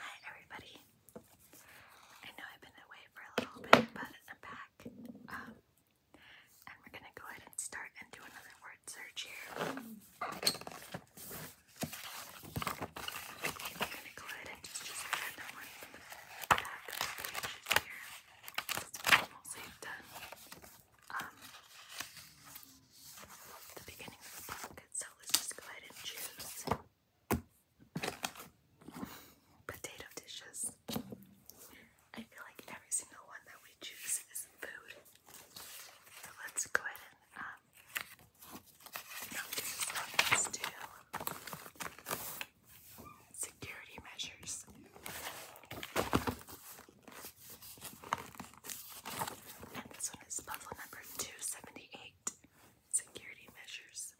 Hi everybody. I know I've been away for a little bit, but I'm back. Um, and we're gonna go ahead and start and do another word search here. I'm gonna go ahead and just just random one from the back of the pages here. That's done. Um, the beginning of the book so let's just go ahead and choose potato dishes. I feel like every single one that we choose is food. So let's go ahead and um let's do security measures. And this one is puzzle number 278 Security Measures.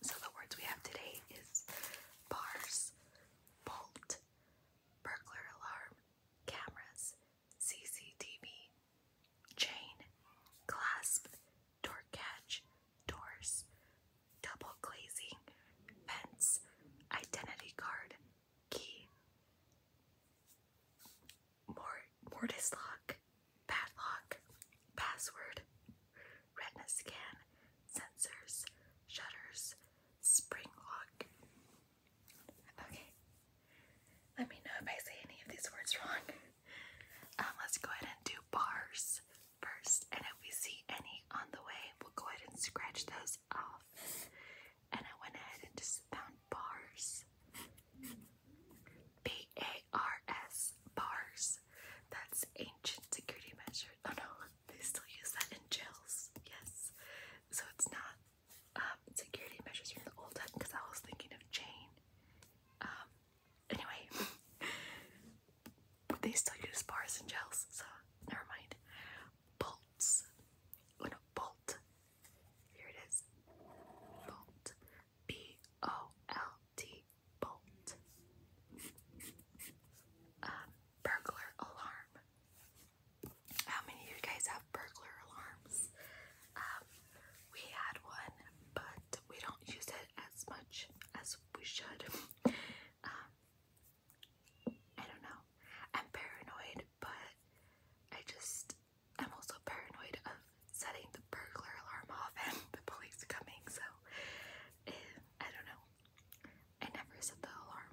So the words we have today is bars, bolt, burglar alarm, cameras, CCTV, chain, clasp, door catch, doors, double glazing, fence, identity card, key. Mort mortis lock, padlock, password, retina scan, sensors, shutters, spring lock. Okay. Let me know if I say any of these words wrong. Um, let's go ahead and do bars first, and if we see any on the way, we'll go ahead and scratch those off and I went ahead and just found bars. B-A-R-S, bars. That's ancient security measure. Oh no, they still use that in jails. Yes. So it's not um, security measures from the old because I was thinking of chain. Um, anyway, they still use bars and gels, so never mind. Bolts. When a bolt here it is. Bolt. B O L T. Bolt. Um, burglar alarm. How many of you guys have burglar alarms? Um, we had one, but we don't use it as much as we should. Um, I don't know. I'm paranoid, but I just I'm also paranoid of setting the burglar alarm off and the police coming, so eh, I don't know. I never set the alarm.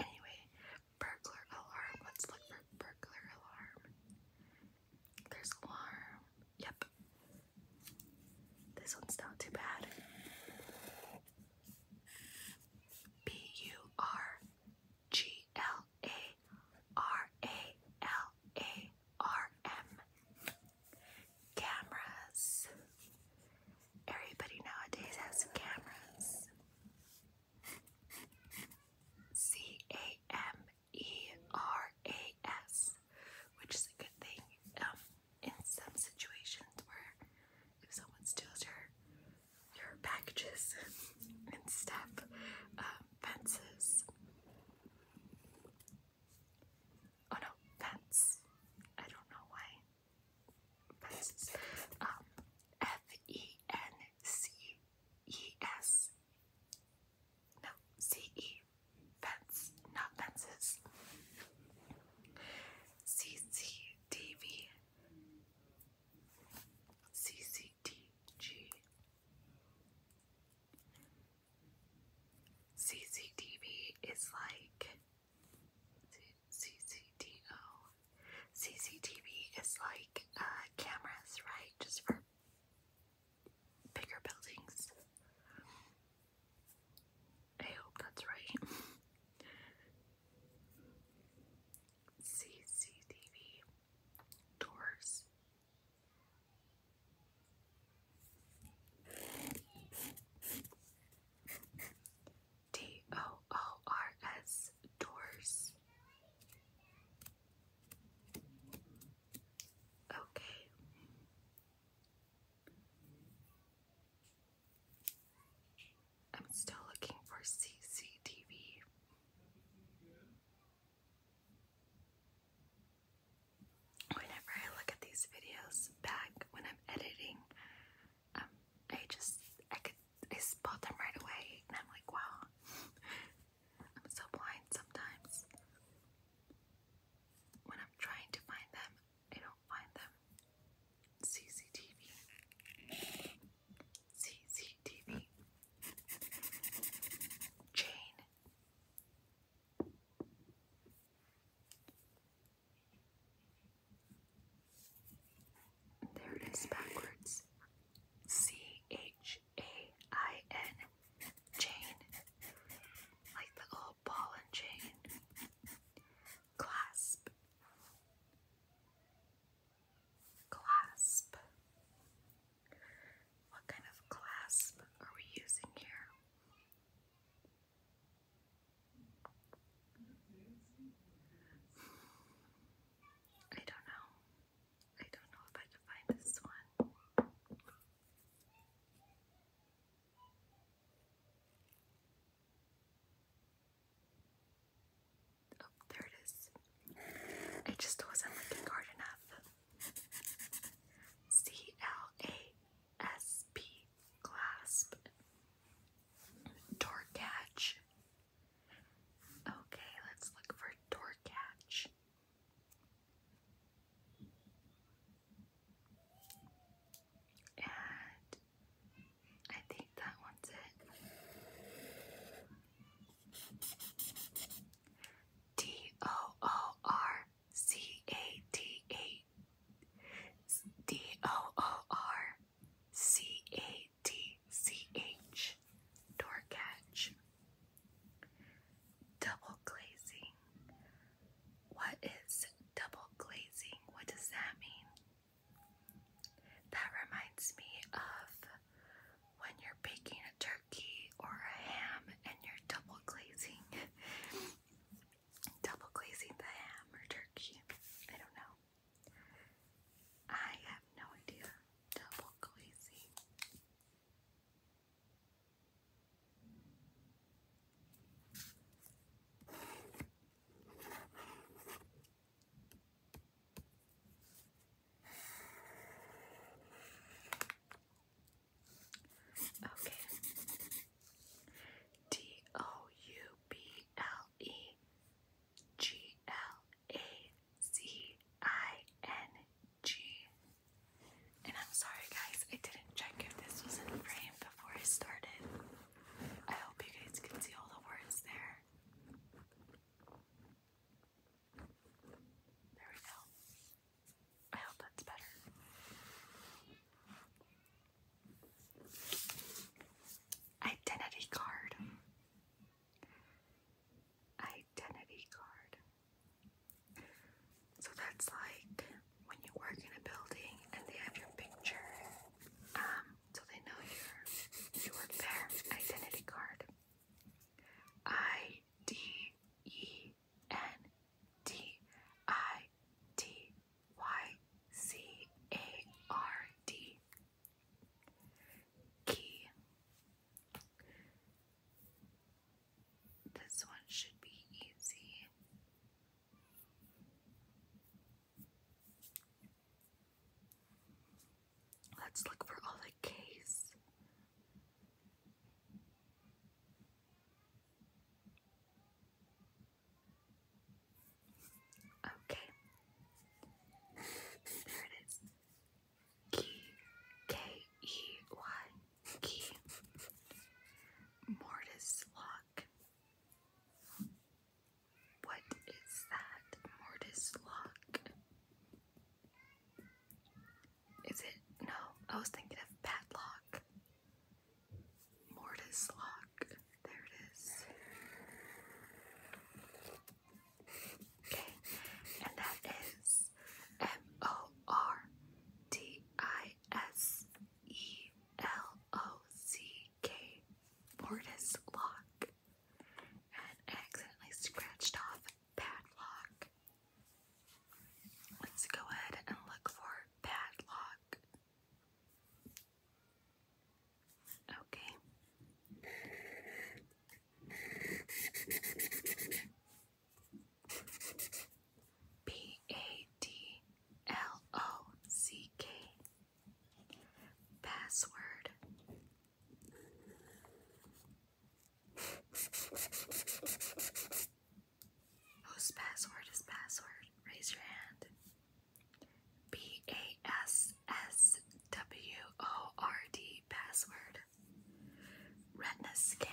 Anyway, burglar alarm. Let's look for burglar alarm. There's alarm. Yep. This one's not too bad. B U R G L A R A L A R M. Cameras. Everybody nowadays has cameras. C A M E R A S, which is a good thing um, in some situations where if someone steals your your packages and step uh, fences. Oh, no, fence. I don't know why. Fences. Um, F E N C E S. No, C E. Fence, not fences. C C D V CCTG is like CCTO is like uh, cameras, right? Just for bigger buildings. I hope that's right. CCTV doors. D O O R S doors. Okay. I'm still looking for CCTV. Whenever I look at these videos back when I'm editing, um, I just I could I spot them right away, and I'm like, wow, I'm so blind sometimes. When I'm trying to find them, I don't Find them. CCTV. CCTV. Chain. There it is backwards. C H A I N chain. Like the old ball and chain. Clasp. Clasp. What kind of clasp are we using here? I don't know. I don't know if I can find this one. Oh, there it is. It just wasn't looking hard enough. C L A S P clasp. Door catch. Okay, let's look for door catch. And I think that one's it. D O O R C A T A D O O R C A T C H door catch double glazing. What is double glazing? What does that mean? That reminds me of when you're baking a turkey or a ham and you're double glazing. double glazing the ham or turkey. I don't know. I have no idea. Double glazing. Okay. D O U B L E G L A C I N G. And I'm sorry, guys, I didn't check if this was in frame before I started. I hope you guys can see all the words there. There we go. I hope that's better. Identity card. Identity card. So that's like when you work in a building and they have your picture, um, so they know your you work there, identity card. I D E N D I T Y C A R D Key. This one should be easy. Let's look for all the K's. Okay. there it is. Key. K E Y. Key. Mortis lock. What is that? Mortis lock? Is it? No, I was thinking of padlock. Mortis lock. There it is. Okay, and that is M O R T I S E L O-C-K Mortis Lock and accidentally scratched off padlock. Let's go ahead and look for padlock. Okay. P A D L O C K. Password. Whose password is password? Raise your hand. B A S S W O R D password. Retina scan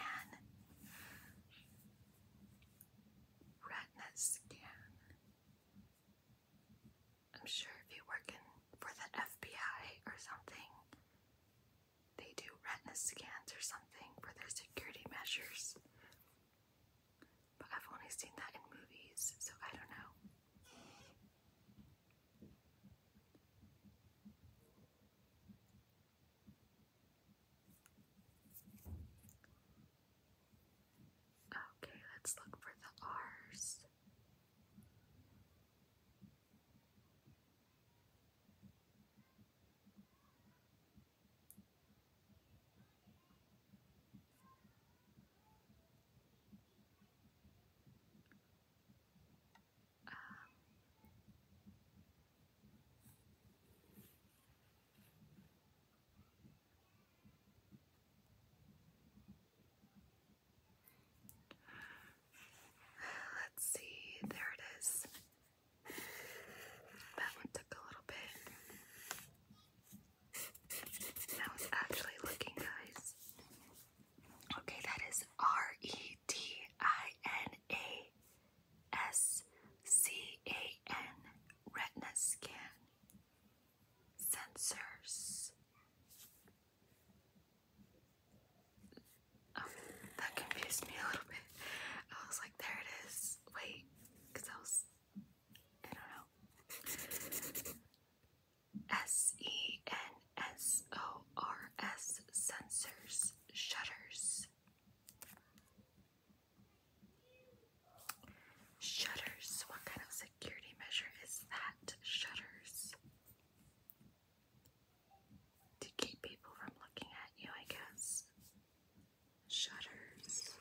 retina scan. I'm sure if you work in for the FBI or something, they do retina scans or something for their security measures. But I've only seen that in movies, so I don't know. Okay, let's look for the R's. Um, Let's see, there it is. That one took a little bit. That was actually looking, guys. Okay, that is R E T I N A SCAN retina scan sensors oh, that confused me a little bit I was like there it is wait because I I don't know S-E-N-S-O-R-S -E -N -S -O -R -S sensors shutters Shutters. What kind of security measure is that? Shutters. To keep people from looking at you, I guess. Shutters.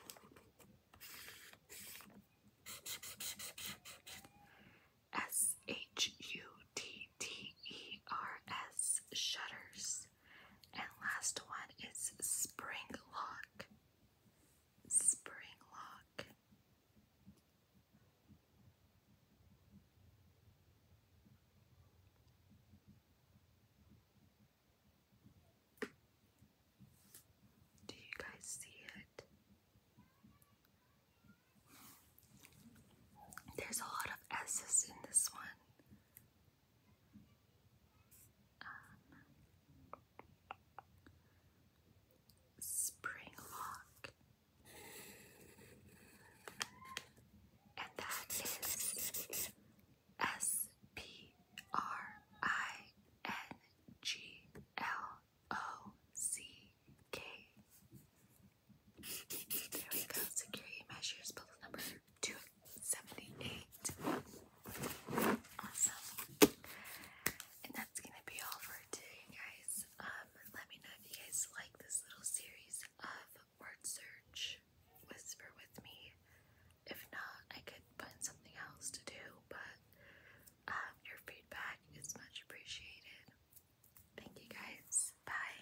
S H U T T E R S. Shutters. And last one is spring lock. Spring lock. Do you guys see it? There's a lot of S's in this one um, spring and that is S P R I N G L O C K. There we go. Security measures, bullet number two 78. Awesome. And that's gonna be all for today, guys. Um, let me know if you guys like this little series of word search. Whisper with me. If not, I could find something else to do, but um, your feedback is much appreciated. Thank you guys. Bye.